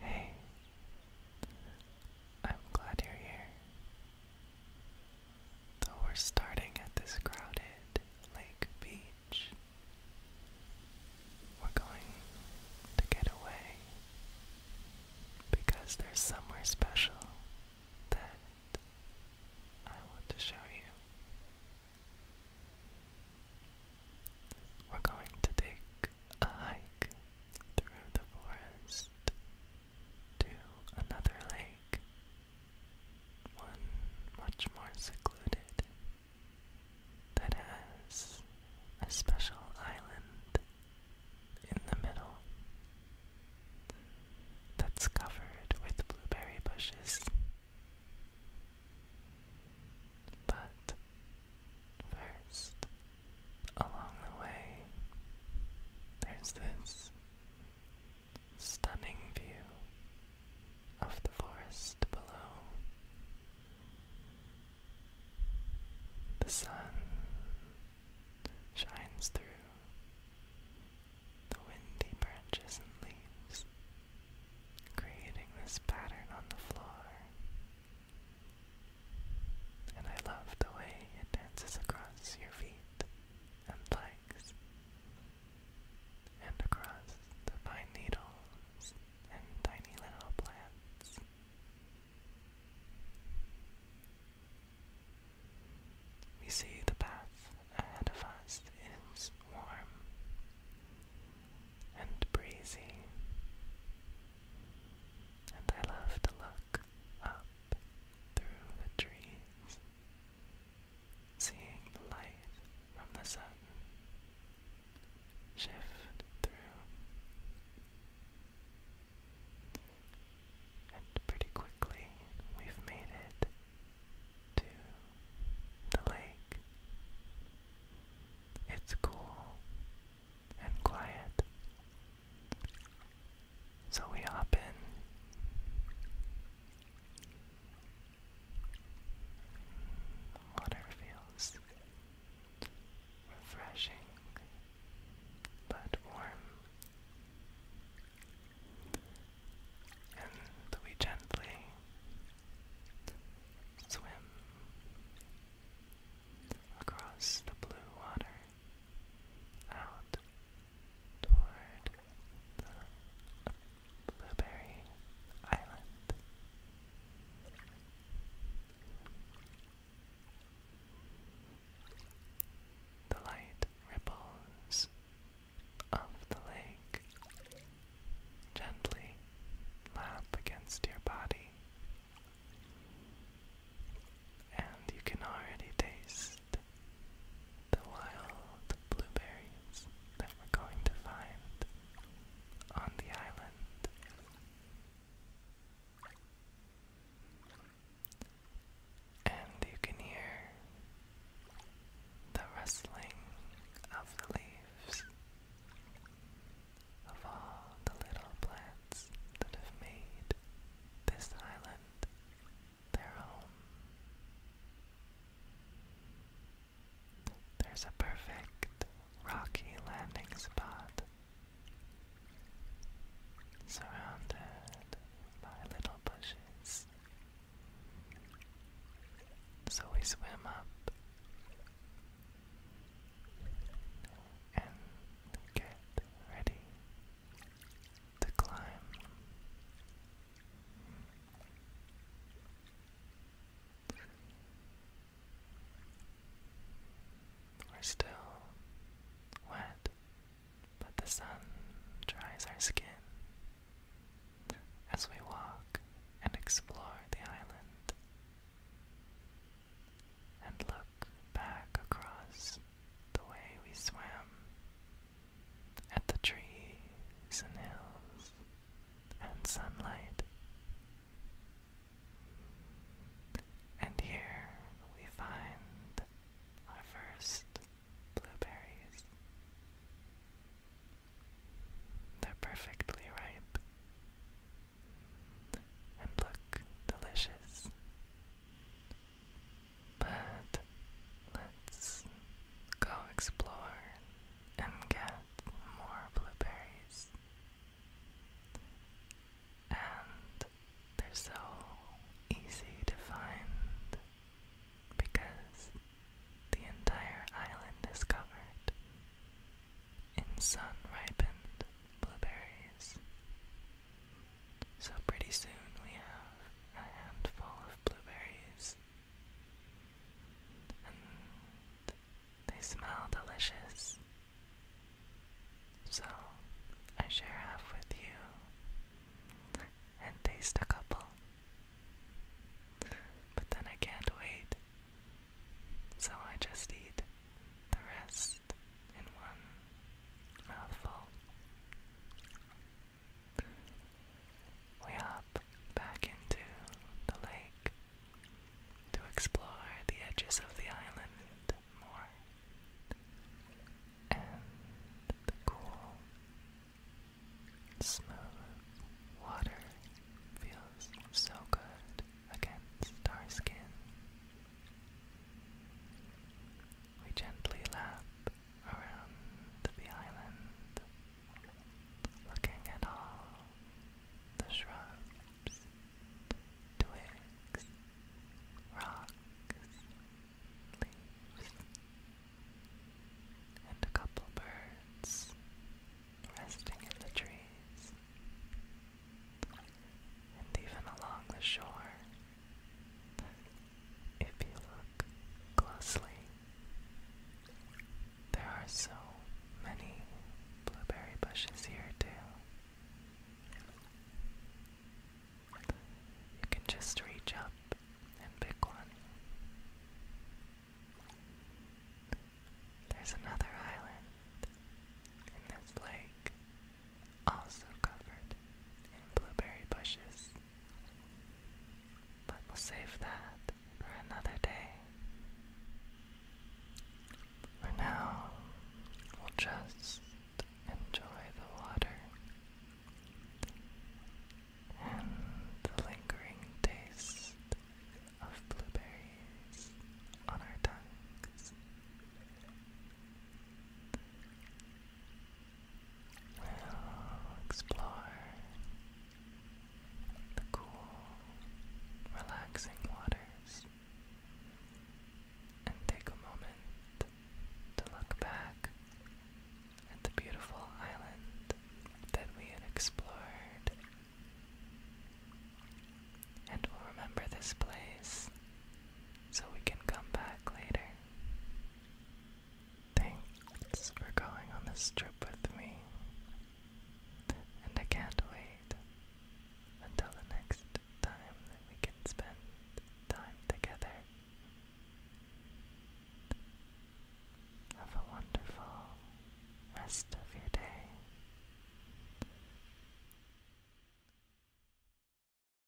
Hey, I'm glad you're here. Though we're starting at this crowded lake beach, we're going to get away because there's somewhere special that I want to show you. We're going to take a hike through the forest to another lake, one much more secluded that has a special island in the middle that's covered with blueberry bushes but first, along the way, there's this stunning view of the forest below. The sun shines through the windy branches and leaves, creating this pattern on the floor. And I love the way it dances across your feet and legs, and across the pine needles and tiny little plants. We see the path ahead of us is warm and breezy, and I love to look up through the trees, seeing the light from the sun shift through. And pretty quickly we've made it to the lake. It's cool and quiet. So we hop in. Water feels refreshing but warm and we gently swim across the blue water out toward the Blueberry Island. The light ripples of the lake gently lap against your body, and you can already taste the wild blueberries that we're going to find on the island and you can hear the rustling of the leaves of all the little plants that have made this island their home. There's a perfect rocky landing spot surrounded by little bushes. So we swim up and get ready to climb. We're still wet, but the sun dries our skin. As we walk and explore the island and look back across the way we swam at the trees and hills and sunlight, and here we find our first blueberries. They're perfectly ripe and look delicious. But let's go explore and get more blueberries. And they're so easy to find because the entire island is covered in sun ripened blueberries. So, pretty soon we have a handful of blueberries. They smell delicious. So, I share half with you and taste a couple. But then I can't wait, so I just eat the rest in one mouthful we hop back into the lake to explore the edges of the island more and the cool, smooth water feels so good against our skin. We gently lap around the island looking at all the shrubs, twigs, rocks, leaves, and a couple birds resting in the trees, and even along the shore. If you look closely, there are so many blueberry bushes here, too. You can just reach up and pick one. There's another island in this lake, also covered in blueberry bushes. But we'll save that for another day. For now, we'll just enjoy the water and the lingering taste of blueberries on our tongues. We'll explore the cool, relaxing waters and take a moment to look back at the beautiful island that we had explored. And we'll remember this place so we can come back later. Thanks for going on this trip with me. And I can't wait until the next time that we can spend time together. Have a wonderful rest of your day.